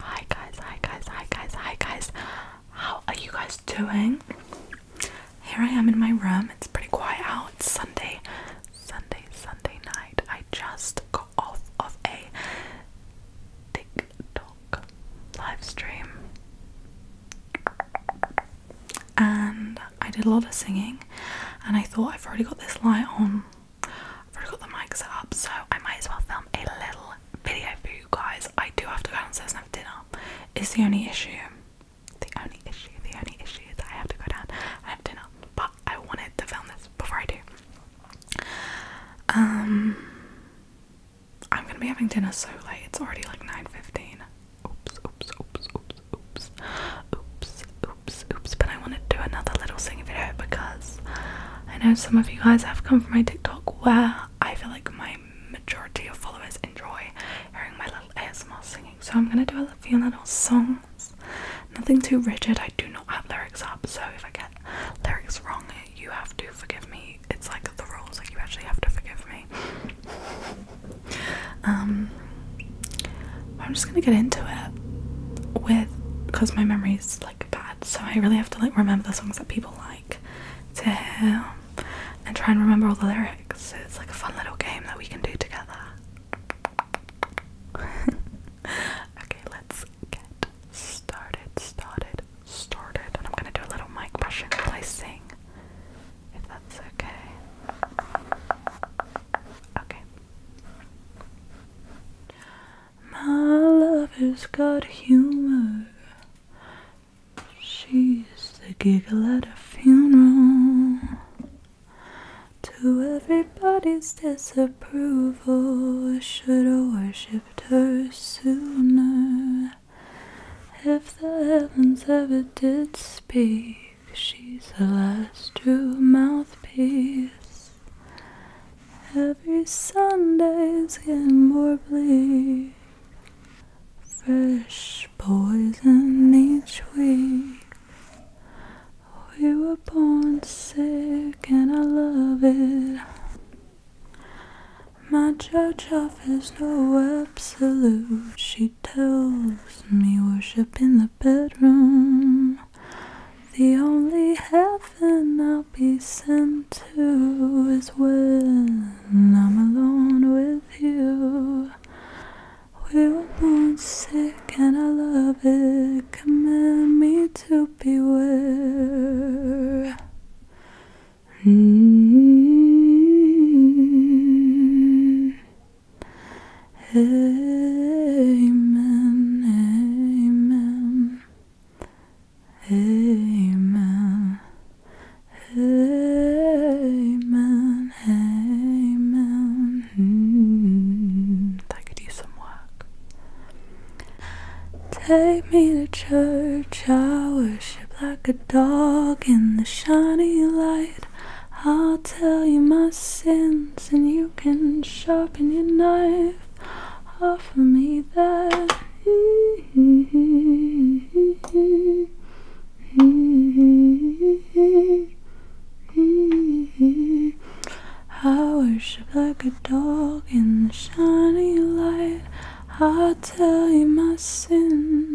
Hi guys, hi guys, hi guys, hi guys. How are you guys doing? Here I am in my room. It's pretty quiet out. It's Sunday, Sunday, Sunday night. I just got off of a TikTok live stream. And I did a lot of singing, and I thought I've already got this light on. I've already got the mic set up, so I might as well film a little video for you guys. I do have to go downstairs and have dinner. It's the only issue. The only issue, the only issue is that I have to go down and have dinner. But I wanted to film this before I do. Um I'm gonna be having dinner so late, it's already like 9.15. Oops, oops, oops, oops, oops, oops, oops, oops. But I wanna do another little singing video because I know some of you guys have come from my TikTok where I feel like my majority of followers enjoy hearing my little ASMR singing. So I'm gonna do a few little songs. Nothing too rigid. I do not have lyrics up, so if I get lyrics wrong, you have to forgive me. It's like the rules. Like you actually have to forgive me. um, I'm just gonna get into it with because my memories like bad. So I really have to like remember the songs that people like to hear and try and remember all the lyrics. it's like a fun little game that we can do together. okay, let's get started, started, started. I'm gonna do a little mic brushing while I sing, if that's okay. Okay. My lover's got humor. She's the giggle at a funeral. To everybody's disapproval, should've worshipped her sooner. If the heavens ever did speak, she's the last true mouthpiece. Every Sunday's getting more bleak. Fresh poison each week. We were born sick and I love it. My church offers no absolute. She tells me worship in the bedroom. The only heaven I be sent to is when I'm alone with you. We were born sick and I love it. Command me to beware. Mm-hmm. Amen, amen. Amen. Amen. Amen. Mm, I could use some work. Take me to church. I worship like a dog in the shiny light. I'll tell you my sins, and you can sharpen your knife. Offer me that. I worship like a dog in the shining light. I'll tell you my sins.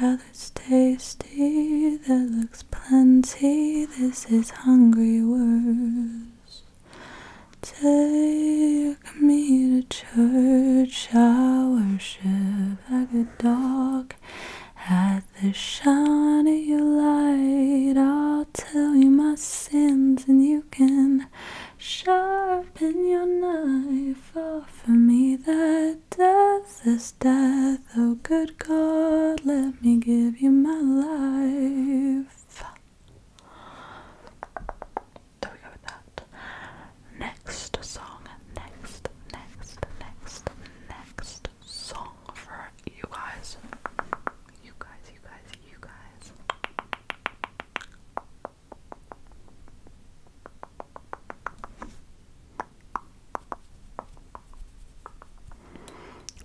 That looks tasty, that looks plenty, this is hungry word. Take me to church, I worship like a dog. At the shine of your light, I'll tell you my sins, and you can sharpen your knife. for me that death, is death. Oh, good God, let me give you my life. So we go with that. Next song, next, next, next, next song for you guys. You guys, you guys, you guys.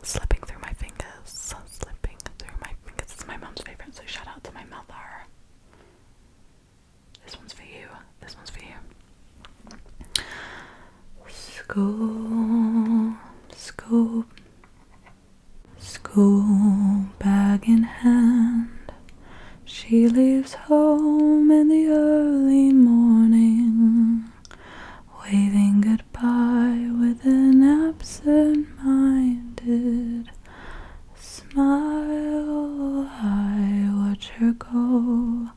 Slipping through my fingers, slipping through my because it's my mom's favorite, so shout out to my mother. This one's for you. This one's for you. School, school, school bag in hand. She leaves home in the early morning, waving goodbye with an absent minded smile I watch her go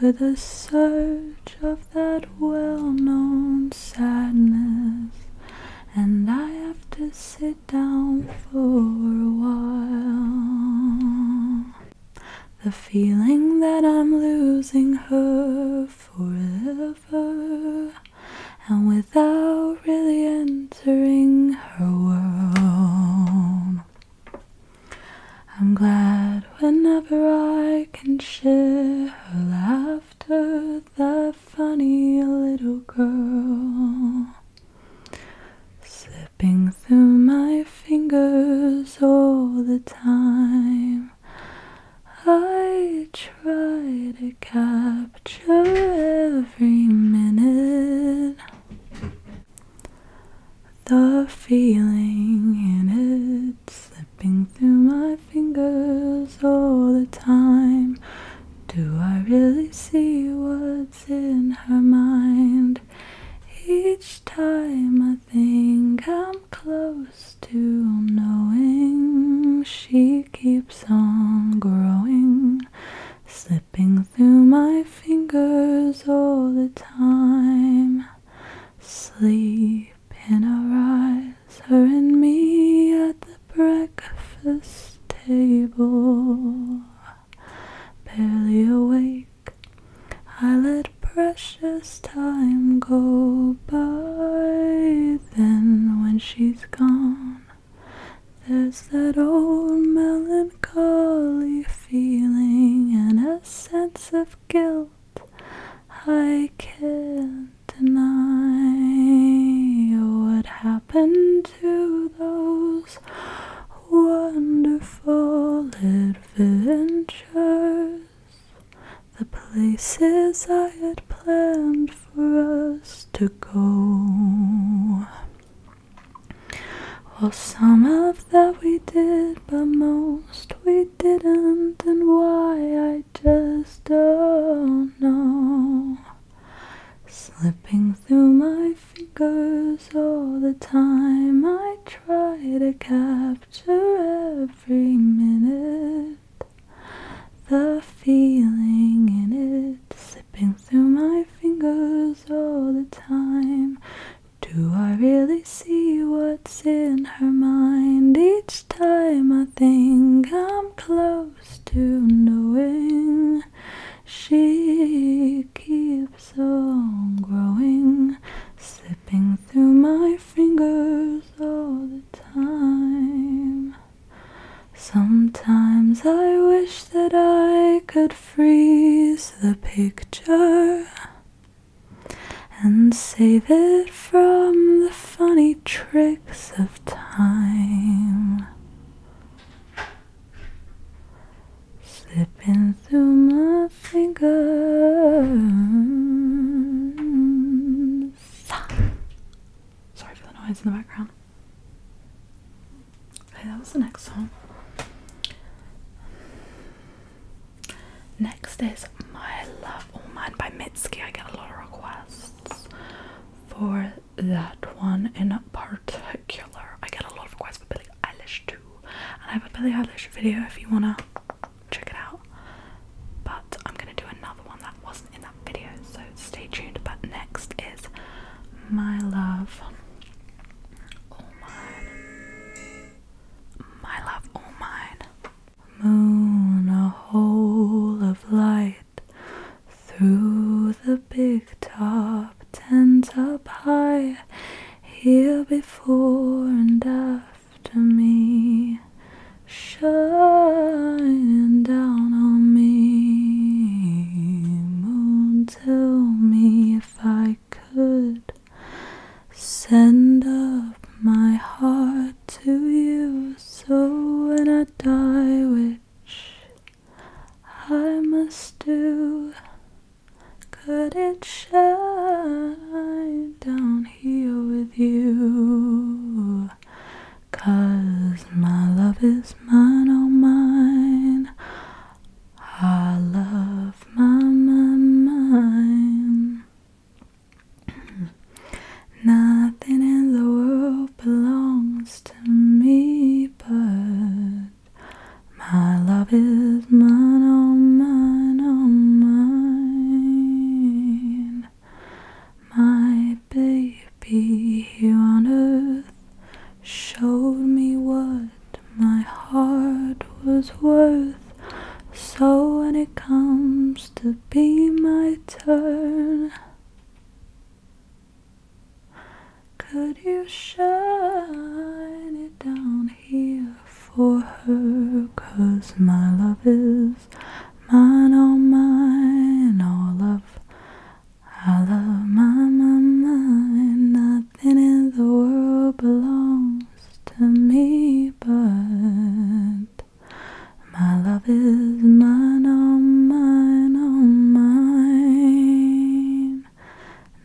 with a surge of that well-known sadness and I have to sit down for a while the feeling that I'm losing her forever and without really entering her world. I'm glad whenever I can share her laughter, that funny little girl. Slipping through my fingers all the time. I try to capture every minute, the feeling in it slipping through my fingers all the time. Do I really see what's in her mind? Each time I think I'm close used to knowing she keeps on growing, slipping through my fingers all the time. Sleep in her eyes, her and me at the breakfast table. Barely awake, I let precious time go by then when she's gone, there's that old melancholy feeling and a sense of guilt I can't deny. What happened to those wonderful adventures? the places I had planned for us to go. Well, some of that we did, but most we didn't, and why I just don't know. Slipping through my fingers all the time, I try to capture every minute. The feeling in it slipping through my fingers all the time. Do I really see what's in her mind? Each time I think I'm close to knowing, she keeps on growing, slipping through my fingers all the time. Sometimes I wish that I could freeze the picture and save it from the funny tricks of time. Slipping through my fingers. Sorry for the noise in the background. Okay, that was the next song. Next is My Love All Mine by Mitski. I get a lot of requests for that one in particular. I get a lot of requests for Billie Eilish too. And I have a Billie Eilish video if you wanna check it out. But I'm gonna do another one that was not wasn't in that video, so stay tuned. But next is My Love All Mine. My Love All Mine. Moon, a hole of light through the big top tent up high, here before and after me me, shine down on me. Moon, tell me if I could send up my heart to you. So when I die, which I must do, could it shine down here with you? Cause my love is mine, oh mine. I love my, my mine. Nothing in the world belongs to me but my love is mine, oh mine, oh mine. My baby here on earth showed me what my heart was worth. So when it comes to be my turn, could you shine it down here for her? Cause my love is mine, oh mine, oh love. I love my, my mind, nothing in the world belongs to me but my love is mine, oh mine, oh mine.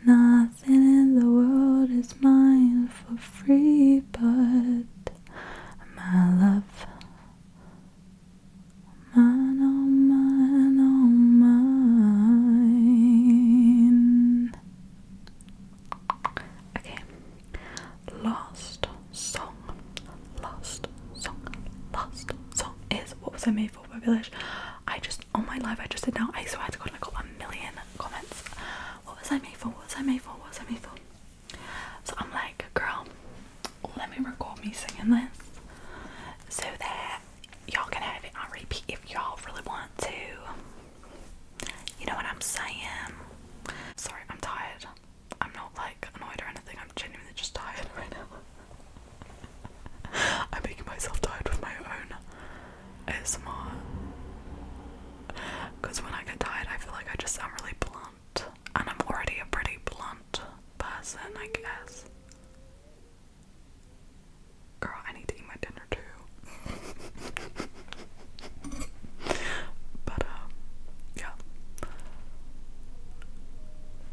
Nothing in the world is mine for free but my love mine, oh mine, oh mine. Okay, last song, last song, last song is what was I made for? By Village. I just on my live, I just said now. I swear to God, I got a million comments. What was I made for? What was I made for? What was I made for? So I'm like, girl, let me record me singing this so that y'all can have it on repeat if y'all really want to. You know what I'm saying? Sorry, I'm tired. I'm not like annoyed or anything, I'm genuinely just tired right now. I'm making myself tired with my own ASMR. Because when I get tired, I feel like I just sound really blunt and I'm already a pretty blunt person, I guess. Girl, I need to eat my dinner too. but, um, yeah.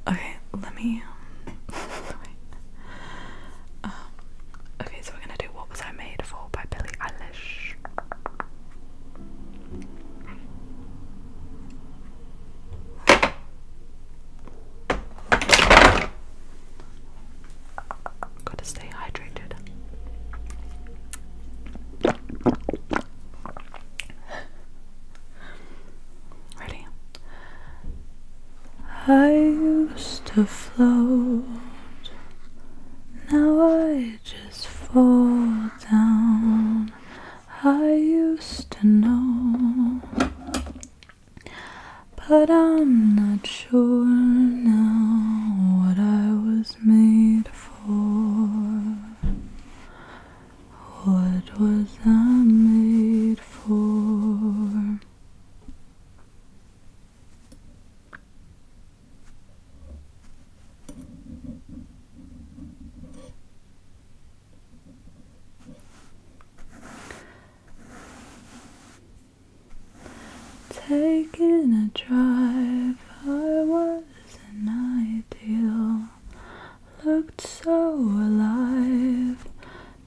Okay, let me. Um, okay, so we're gonna do What Was I Made For by Billie Eilish. Gotta stay hydrated. Ready? I used to float, now I just fall down. I used to know, but I'm not sure now what I was made for. What was I made for? Taking a drive, I was an ideal. Looked so alive.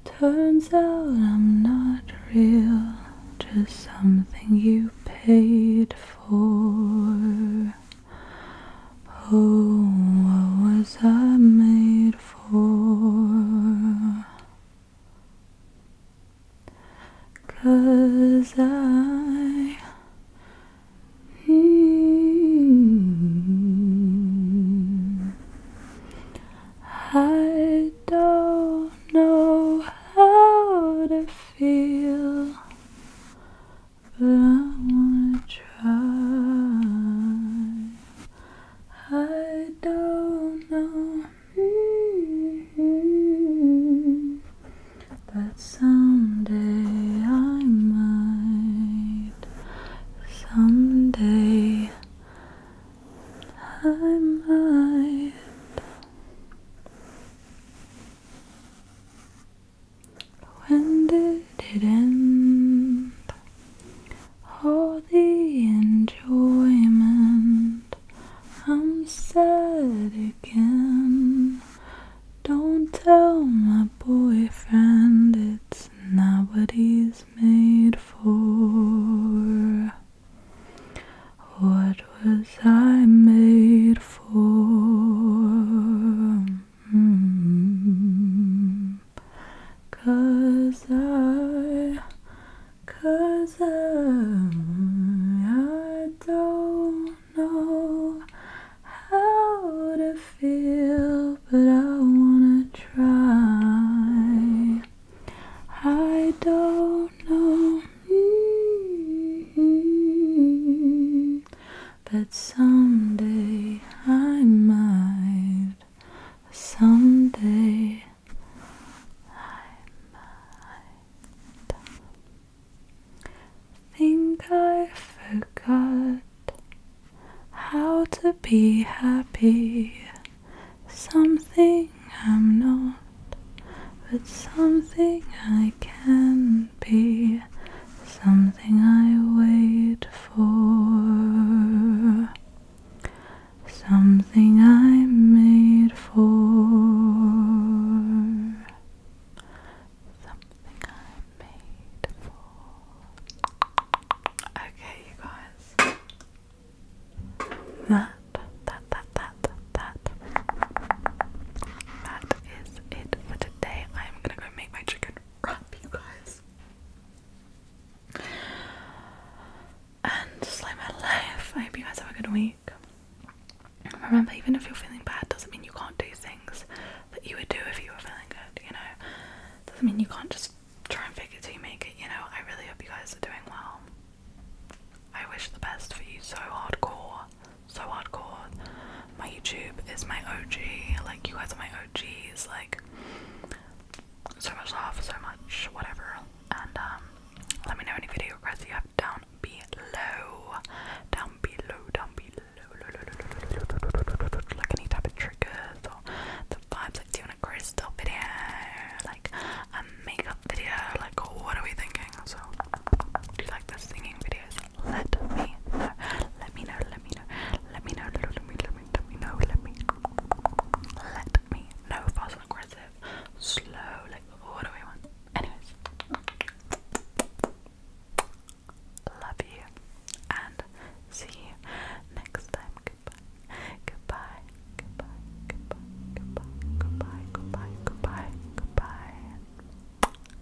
Turns out I'm not real, just something you paid for. Oh, what was I made for? Cause I mm, I don't know how to feel but I wanna try. I don't know, mm -hmm. but someday I might. Someday I might. When did it end? All the enjoyment. I'm sad again. Don't tell my boyfriend it's not what he's made for. What was I made for? Cause I, cause I, I don't know how to feel, but I wanna try. I don't know. But someday I might. Someday I might. Think I forgot how to be happy. Something I'm not, but something I can be something I wait for, something I'm made for, something I'm made for. Okay, you guys. That, that, that, that, that, that is it for today today I'm gonna go make my chicken wrap, you guys. And just live my life. I hope you guys have a good week. Remember, even if you're feeling bad, doesn't mean you can't do things that you would do if you were feeling good, you know? Doesn't mean you can't just try and figure it till you make it, you know? I really hope you guys are doing well. I wish the best for you so hardcore so hardcore. My YouTube is my OG. Like you guys are my OGs. Like so much love, so much whatever. And um, let me know any video requests you have down below. Down below. Down below. Like any type of triggers or the vibes. Like do you want a crystal video? Like a makeup video? Like what are we thinking? So do you like this singing video? ideas, let me know. Let me know, let me know, let me know, let me, let me, let me know, let me let me know fast and aggressive, slow, like what do we want? Anyways. Love you and see you next time. Goodbye. Goodbye. Goodbye. Goodbye. Goodbye. Goodbye. Goodbye. Goodbye. Goodbye.